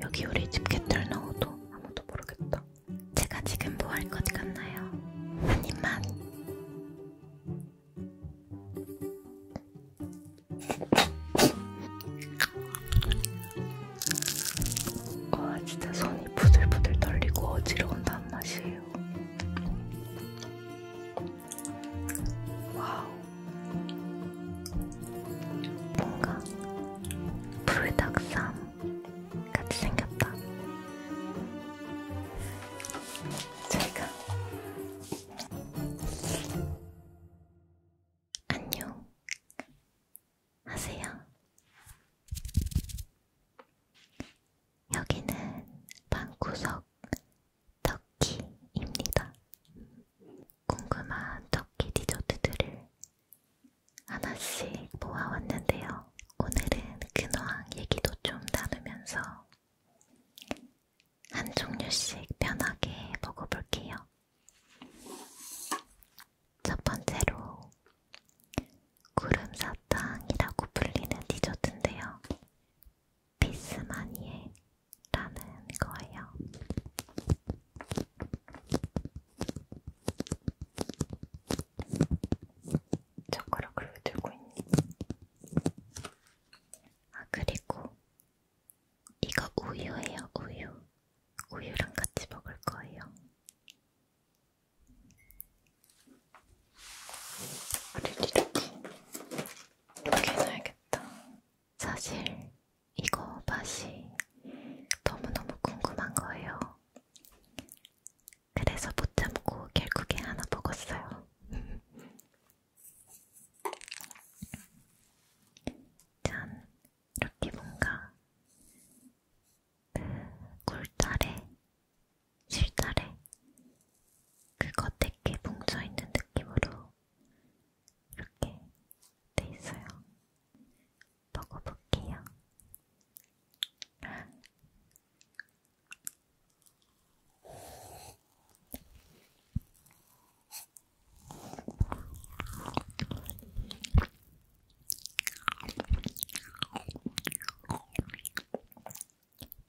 여기 우리 집 개털 넣어도 아무도 모르겠다. 제가 지금 뭐 할 것 같나요? 한 입만. 와 진짜 손이 부들부들 떨리고 어지러운 단맛이에요. 와우. 뭔가 불닭쌈 같이 생겼다. 제가 안녕 하세요. 여기는 방구석 터키입니다. 궁금한 터키 디저트들을 하나씩 모아왔는데요. 오늘은 근황 얘기도 좀 나누면서 한 종류씩 편하게 먹어볼게요. 첫 번째로 구름 사탕이라고 불리는 디저트인데요. 피스마니에라는 거예요. 젓가락을 왜 들고 있니? 아, 그리고 이거 우유예요, 우유. 우유랑 같이 먹을 거예요. 우리를 이렇게, 이렇게 해놔야겠다. 사실 이거 맛이 너무너무 궁금한 거예요. 그래서 못 참고 결국에 하나 먹었어요. 짠! 이렇게 뭔가 꿀달에 실달에 그 겉에 뭉쳐있는 느낌으로 이렇게 돼 있어요. 먹어볼게요.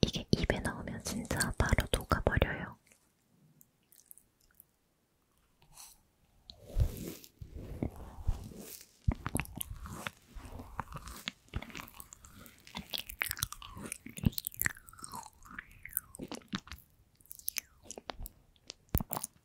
이게 입에 넣으면 진짜 바로 녹아버려요.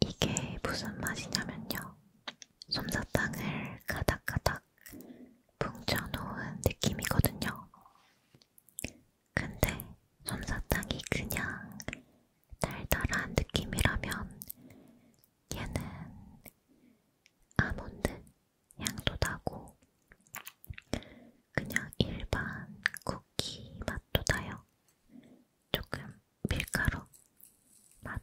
이게 무슨 맛이냐면요. 솜사탕을 가닥가닥 뭉쳐놓은 느낌이거든요. 근데 솜사탕이 그냥 달달한 느낌이라면 얘는 아몬드 향도 나고 그냥 일반 쿠키 맛도 나요. 조금 밀가루 맛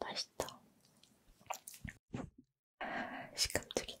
맛있다. 식감들이.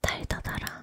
달다 달아.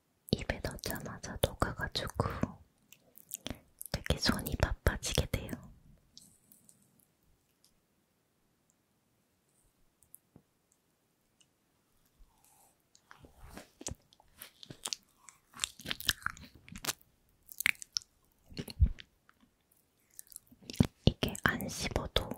입에 넣자마자 녹아가지고 되게 손이 바빠지게 돼요. 이게 안 씹어도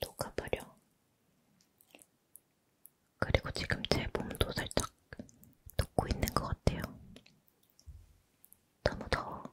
녹아버려. 그리고 지금 제 몸도 살짝 녹고 있는 것 같아요. 너무 더워.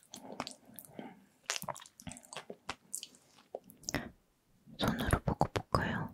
손으로 보고 볼까요?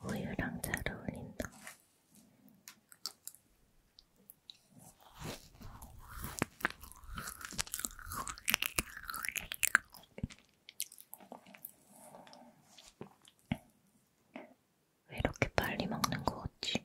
우유랑 잘 어울린다. 왜 이렇게 빨리 먹는 거 같지?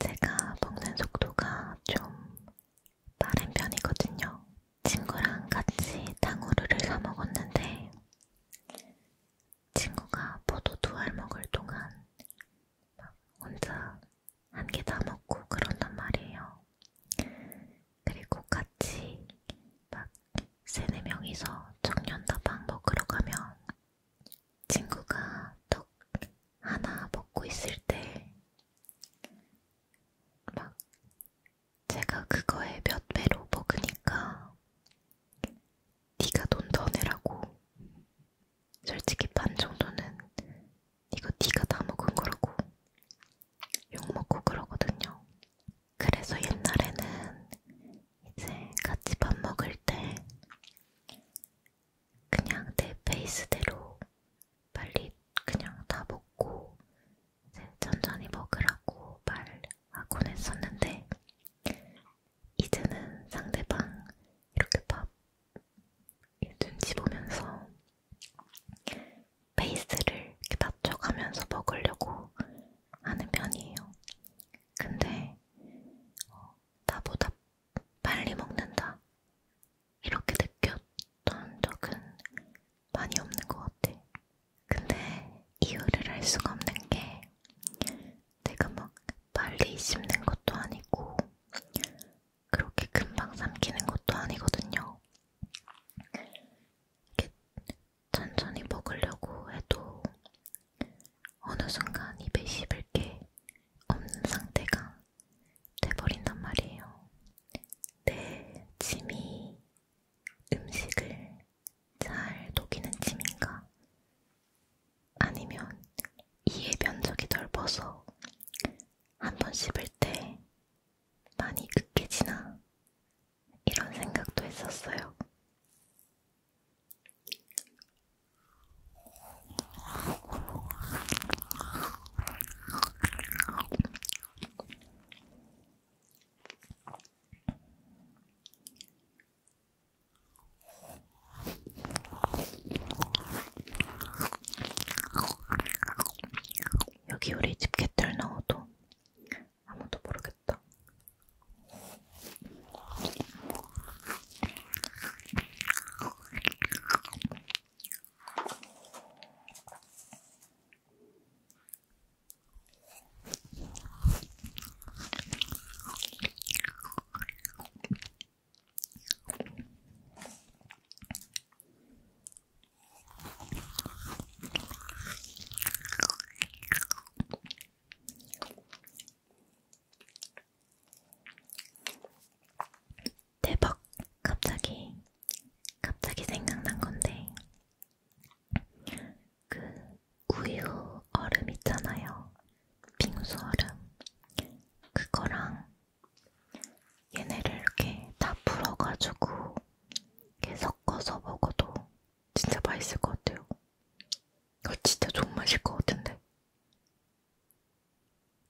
제가 먹는 속도가 좀 빠른 편이거든요. 친구랑 같이 탕후루를 사 먹었는데 친구가 포도 두 알 먹을 동안 막 혼자 한 개 다 먹고 그런단 말이에요. 그리고 같이 막 세네 명이서 청년다방 먹으러 가면 친구가 떡 하나 먹고 있을 때 막 제가 그거에 몇 배로 먹으니까 네가 돈 더 내라고 솔직히 반 정도는 이거 네가 다 먹은 거라고 욕먹고 그러거든요. 그래서 옛날에는 이제 같이 밥 먹을 때 그냥 내 페이스대로 빨리 그냥 다 먹고 이제 천천히 먹으라고 말하곤 했었는데 이제는 상대방 이렇게 밥 눈치 보면서 페이스를 이렇게 낮춰가면서 먹으려고 하는 편이에요. 근데 어, 나보다 빨리 먹는다 이렇게 느꼈던 적은 많이 없는 것 같아. 근데 이유를 알 수가 없는 게 내가 막 빨리 씹는 것도 아니고 그렇게 금방 삼키는 것도 아니거든요. 이렇게 천천히 먹으려고 해도 어느 순간 입에 씹을 게 없는 상태가 돼버린단 말이에요. 내 침이 음식을 잘 녹이는 침인가 아니면 이의 면적이 넓어서 한 번 씹을 때 많이 으깨지나 이런 생각도 했었어요. 여기 우리 집 개털 넣어도 아무도 모르겠다. 대박! 갑자기, 갑자기 생각난 건데, 그 우유 얼음 있잖아요. 빙수 얼음 그거랑 얘네를 이렇게 다 풀어가지고 이렇게 섞어서 먹어도 진짜 맛있을 것 같아요. 이거 진짜 존맛일 것 같은데.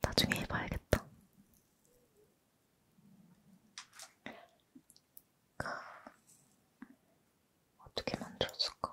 나중에 해봐야겠다. 그, 어떻게 만들었을까?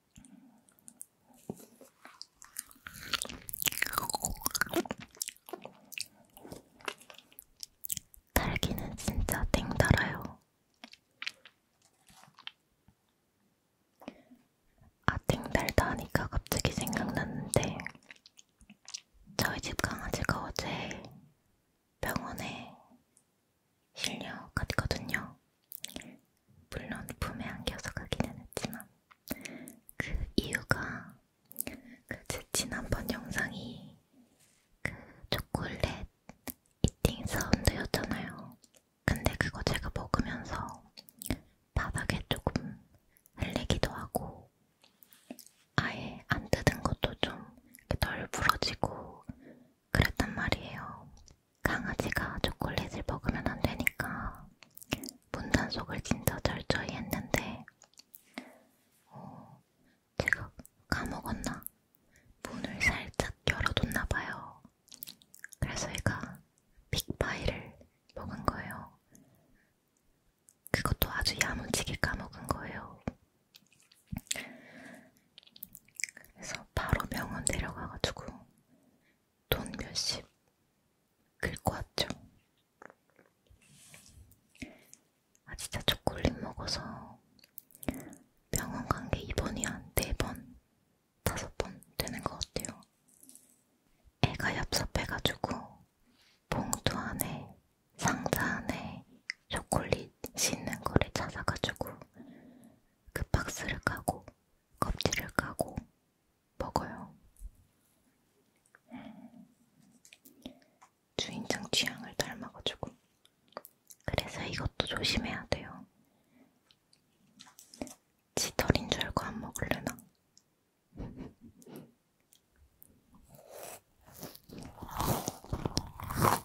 딸기는 진짜 땡달아요. 아 땡달다 하니까 갑자기 생각났는데 저희 집 강아지가 어제 병원에 실력같거든요. 물론 품에 안겨서 가기는 했지만 그 이유가 그제 지난번 영상이 그 초콜릿 이팅 사운드였잖아요. 근데 그거 제가 먹으면서 바닥에 조금 흘리기도 하고 아예 안 뜯은 것도 좀 덜 부러지고 그랬단 말이에요. 강아지가 초콜릿을 먹으면 안 되니까 문단속을 진짜 철저히 했는데 어, 제가 까먹었나? 문을 살짝 열어뒀나봐요. 그래서 얘가 빅파이를 먹은 거예요. 그것도 아주 야무지게 까먹은 거예요. 그래서 바로 병원 데려가가지고 돈 몇십 긁고 왔죠. 아 진짜 초콜릿 먹어서 병원 간 게 이번이 한 네번 다섯 번 되는 것 같아요. 애가 얍삽해가지고 봉투 안에 상자 안에 초콜릿이 있는 거를 찾아가지고 그 박스를 까고 껍질을 까고 먹어요. 음, 주인장 취향을 닮아가지고 그래서 이것도 조심해야 돼요. 지털인 줄 알고 안 먹을래나?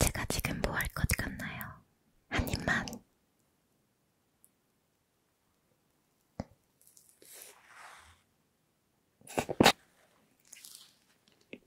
제가 지금 뭐 할 것 같나요? 한 입만.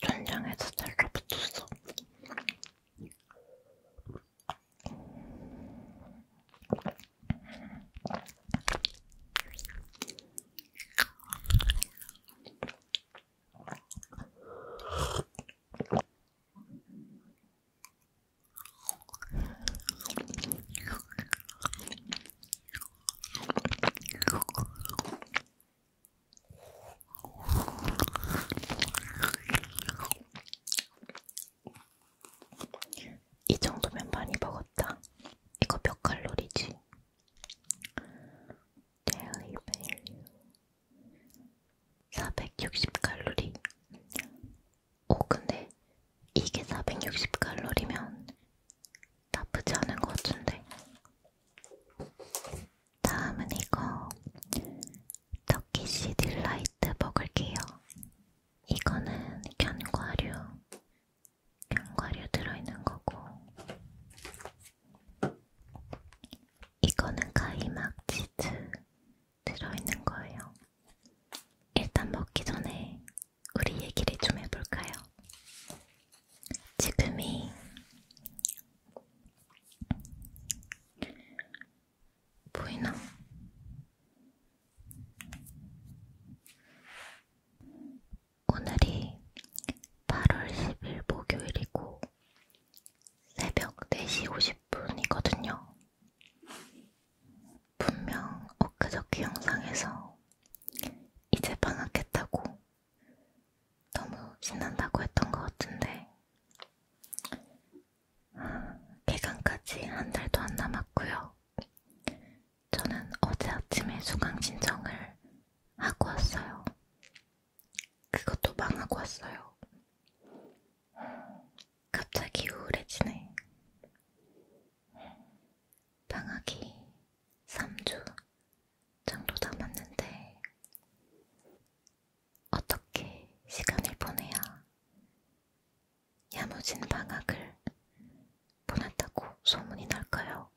천장에서 잘라붙었어. 이 정도면 많이 먹었다. 이거 몇 칼로리지? Daily value 460칼로리. 오, 근데 이게 460칼로리면 나쁘지 않은 것 같은데. 다음은 이거 터키시 딜라이트 먹을게요. 이거는 견과류, 견과류 들어있는 거고 이거는 가이막 치즈 들어있는 거예요. 일단 먹기 전에 우리 얘기를 좀 해볼까요? 지금이 보이나? 오늘이 8월 10일 목요일이고 새벽 4시 50분이거든요. 분명 엊그저께 영상에서 이제 방학했다고 너무 신난다고 했던 것 같은데 아, 개강까지 한 달도 안 남았고요. 저는 어제 아침에 수강 신청을 하고 왔어요. 그것도 망하고 왔어요. 갑자기 우울해지네. 방학이 3주 정도 남았는데 어떻게 시간을 보내야 야무진 방학을 보냈다고 소문이 날까요?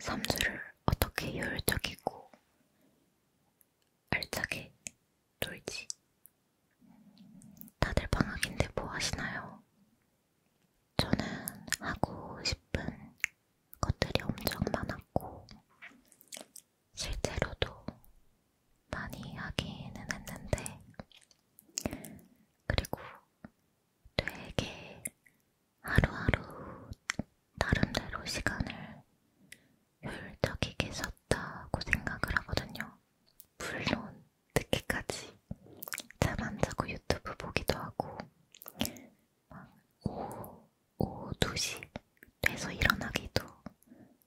삼수를 어떻게 효율적이고 알차게 놀지? 다들 방학인데 뭐 하시나요? 저는 하고 싶은 것들이 엄청 많았고, 실제로도 많이 하기는 했는데, 그리고 되게 하루하루 나름대로 시간을 효율적이게 썼다고 생각을 하거든요. 물론, 늦게까지 잠 안 자고 유튜브 보기도 하고, 막 오후, 오후 2시 돼서 일어나기도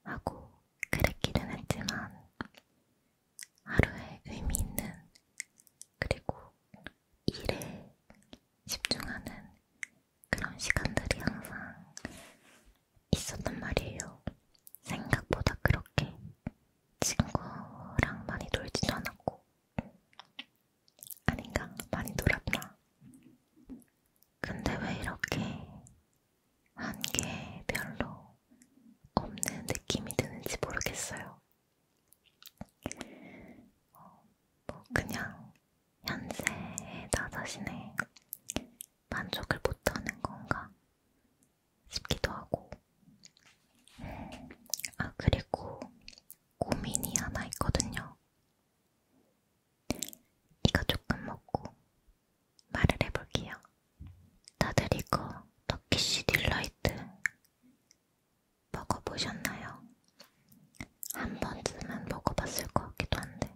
하고 그랬기는 했지만 하루에 의미 있는 그리고 일에 집중하는 그런 시간들이 항상 있었단 말이에요. 생각보다 그렇게 친구랑 많이 놀지도 않았고 아닌가? 많이 놀았나? 근데 왜 이렇게 한 게 별로 없는 느낌이 드는지 모르겠어요. 어, 뭐 그냥 현재의 나 자신의 만족을 못하는 건가 싶기도 하고 아, 그리고 고민이 하나 있거든요. 이거 조금 먹고 말을 해볼게요. 다들 이거 터키시 딜라이트 먹어보셨나요? 한 번쯤은 먹어봤을 것 같기도 한데.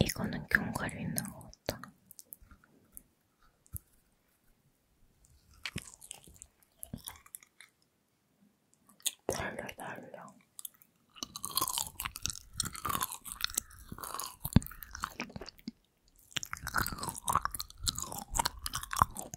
이거는 견과류 있는 것 같다. 달려, 달려.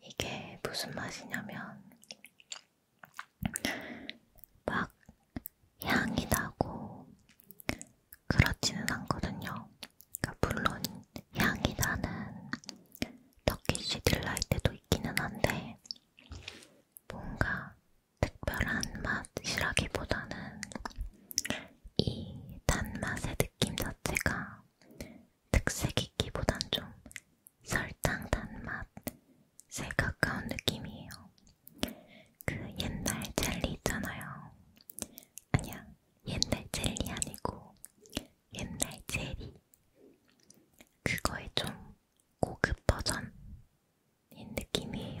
이게 무슨 맛이냐면 막 향이 나고 그렇지는 않거든요. 그러니까 물론 향이 나는 터키시 딜라이트도 있기는 한데 뭔가 특별한 맛이라기보다는 이 단맛의 느낌 자체가 특색있기보단 좀 설탕 단맛 에 가까운 느낌이에요. 그 옛날 젤리 있잖아요. 아니야, 옛날 젤리 아니고 옛날 젤리. 그거의 좀 고급 버전인 느낌이에요.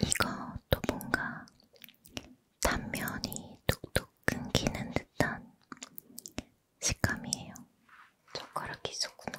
이것도 뭔가 단면이 뚝뚝 끊기는 듯한 식감이에요. 젓가락이 있었구나.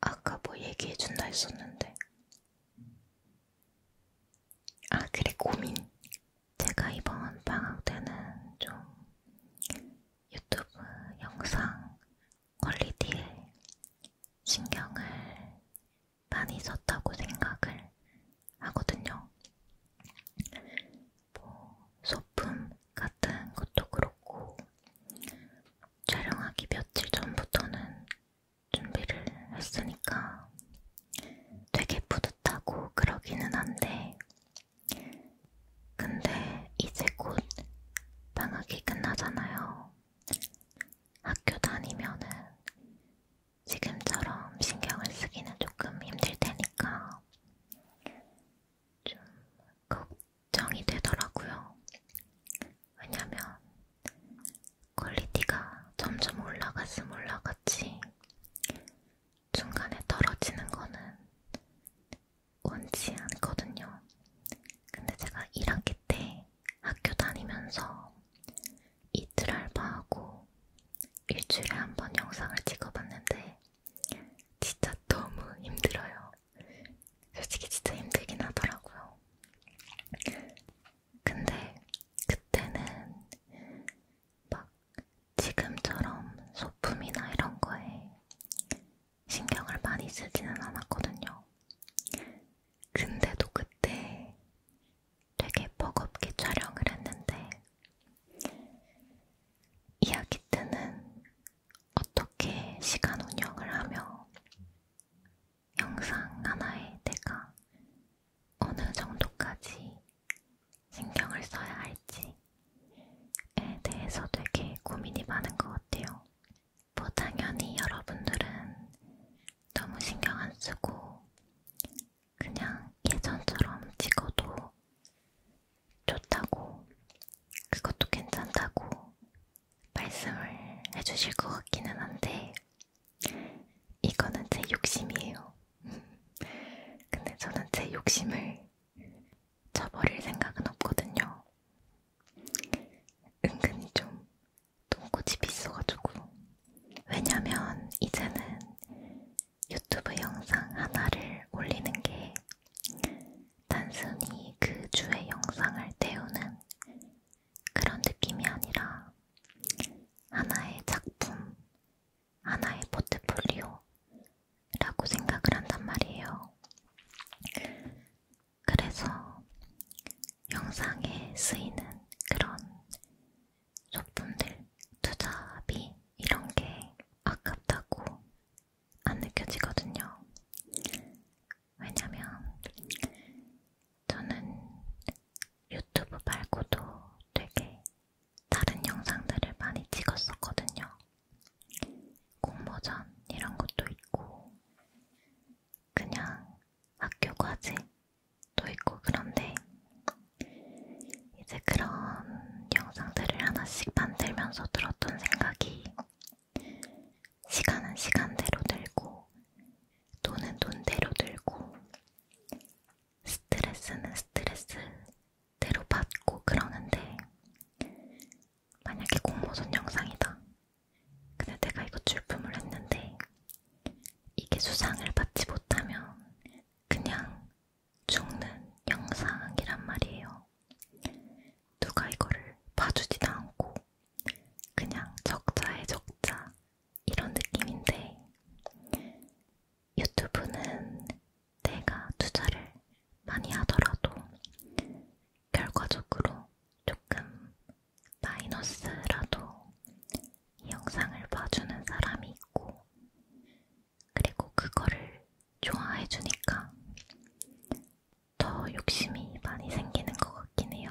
아까 뭐 얘기해준다 했었는데. 아, 그래, 고민. 제가 이번 방학 때는 좀 유튜브 영상 퀄리티에 신경을 많이 썼다고 생각을 하거든요. 뭐 소품 같은 것도 그렇고 촬영하기 며칠 전부터는 준비를 했으니까 되게 뿌듯하고 그러기는 한데, 근데 이제 곧 방학이 끝나잖아요. 학교 다니면은 지금처럼 신경을 쓰기는 조금 힘들 테니까 좀 걱정이 되더라고요. 왜냐면 퀄리티가 점점 올라갔음 올라갔지 중간에 떨어지는 거는 원치 않거든요. 근데 제가 1학기 때 학교 다니면서 이틀 알바하고 일주일에 한 번 영상을 찍어봤는데 진짜 너무 힘들어요. 솔직히 진짜 힘들긴 하더라고요. 근데 그때는 막 지금처럼 소품이나 이런 거에 신경을 많이 쓰지는 않았거든요. 근데도 그때 되게 버겁게 촬영을 했는데 이야기 때는 어떻게 시간 운영을 하며 영상 하나에 내가 어느 정도까지 신경을 써야 할지에 대해서 되게 고민이 많은 것 같아요. 뭐 당연히 여러분들은 너무 신경 안 쓰고 그냥 예전처럼 찍어도 좋다고 그것도 괜찮다고 말씀을 해주실 것 같기는 한데 이거는 제 욕심이에요. 근데 저는 제 욕심을 저버릴 생각은 없거든요. 은근히 좀 똥꼬치 비싸가지고. 왜냐면 이제는 유튜브 영상 하나를 올리는 게 단순히 그 주의 영상을 때우는 그런 느낌이 아니라 하나의 작품, 하나의 포트폴리오라고 생각을 한단 말이에요. 그래서 영상에 쓰이는 그런 소품들, 투자비 이런 게 아깝다고 안 느껴지거든요. 왜냐면 저는 유튜브 말고도 되게 다른 영상들을 많이 찍었었거든요. 공모전 이런 것도 있고, 그냥 학교 과제도 있고 그런데, 이제 그런 영상들을 하나씩 만들면서 들었던 생각이, 시간은 시간대로 들고, 돈은 돈대로 들고, 스트레스는 스트레스대로 받고 그러는데 만약에 공모전 영상이다. 근데 내가 이거 출품을 했는데 이게 수상을 받지 못하면 그냥 죽는 영상이란 말이에요. 누가 이거를 봐주지도 않고 그냥 적자에 적자 이런 느낌인데 유튜브는 내가 투자를 많이 하더라도 결과적으로 조금 마이너스라도 이 영상을 봐주는 사람이 있고 그리고 그거를 좋아해주니까 더 욕심이 많이 생기는 것 같긴 해요.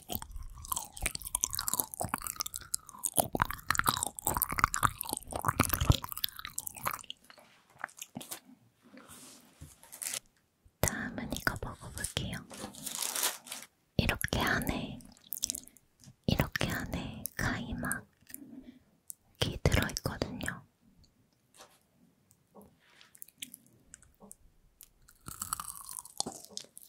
다음은 이거 먹어볼게요. 이렇게 안에, 이렇게 안에 가이막이 들어있거든요.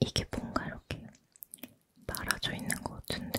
이게 뭔가 이렇게 말아져 있는 것 같은데.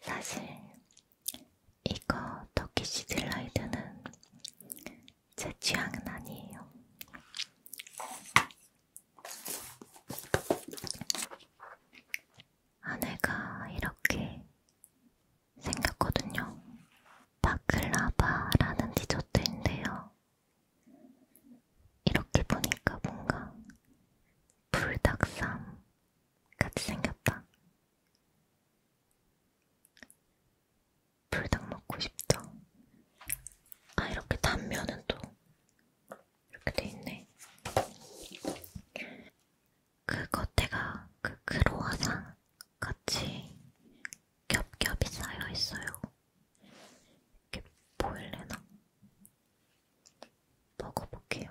사실 이거 터키시 딜라이드는 제 취향은 아니에요. 아내가 이렇게 생겼거든요. 바클라바라는 디저트인데요. 이렇게 보니까 뭔가 불닭쌈 같이 생겼다. 불닭 먹고 싶죠? 아, 이렇게 단면은 또 이렇게 돼 있네. 그 겉에가 그 크로아상 같이 겹겹이 쌓여 있어요. 이렇게 보일래나? 먹어볼게요.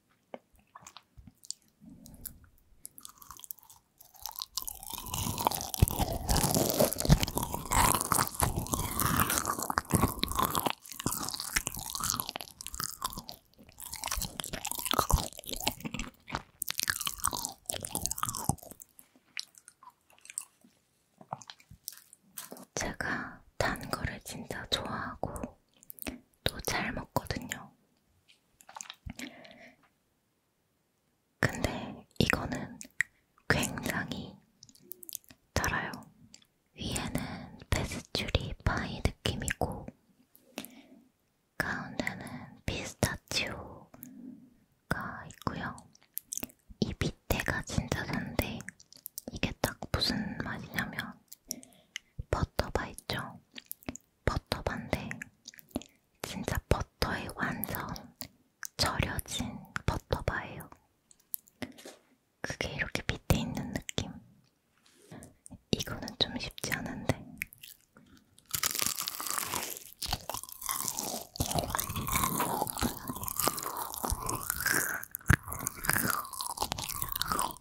제가 단 거를 진짜 좋아하고 또 잘 먹거든요. 근데 이거는 굉장히 달아요. 위에는 페스츄리 파이 느낌이고 가운데는 피스타치오가 있고요. 이 밑에가 진짜 단데 이게 딱 무슨 맛이냐면 버터바 있죠? 버터반데 진짜 버터에 완전 절여진 버터바예요. 그게 이렇게 밑에 있는 느낌. 이거는 좀 쉽지 않은데.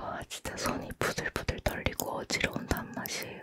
와 진짜 손이 부들부들 떨리고 어지러운 단맛이에요.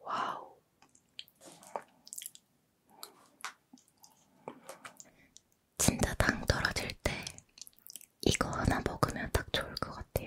와우. 진짜 당 떨어질 때 이거 하나 먹으면 딱 좋을 것 같아요.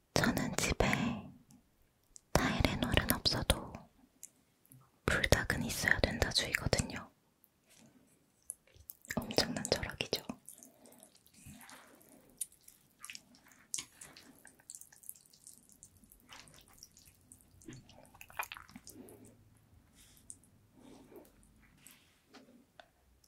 저는 집에 타이레놀은 없어도 불닭은 있어야 된다 주의거든요. 엄청난 절약이죠.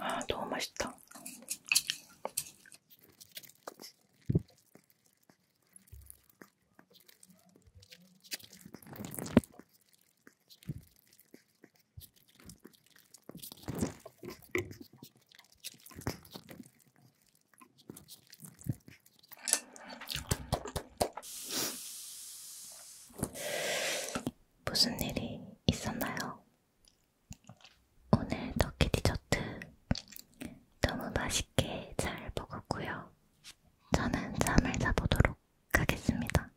ああどうました 무슨 일이 있었나요? 오늘 터키 디저트 너무 맛있게 잘 먹었고요. 저는 잠을 자보도록 하겠습니다.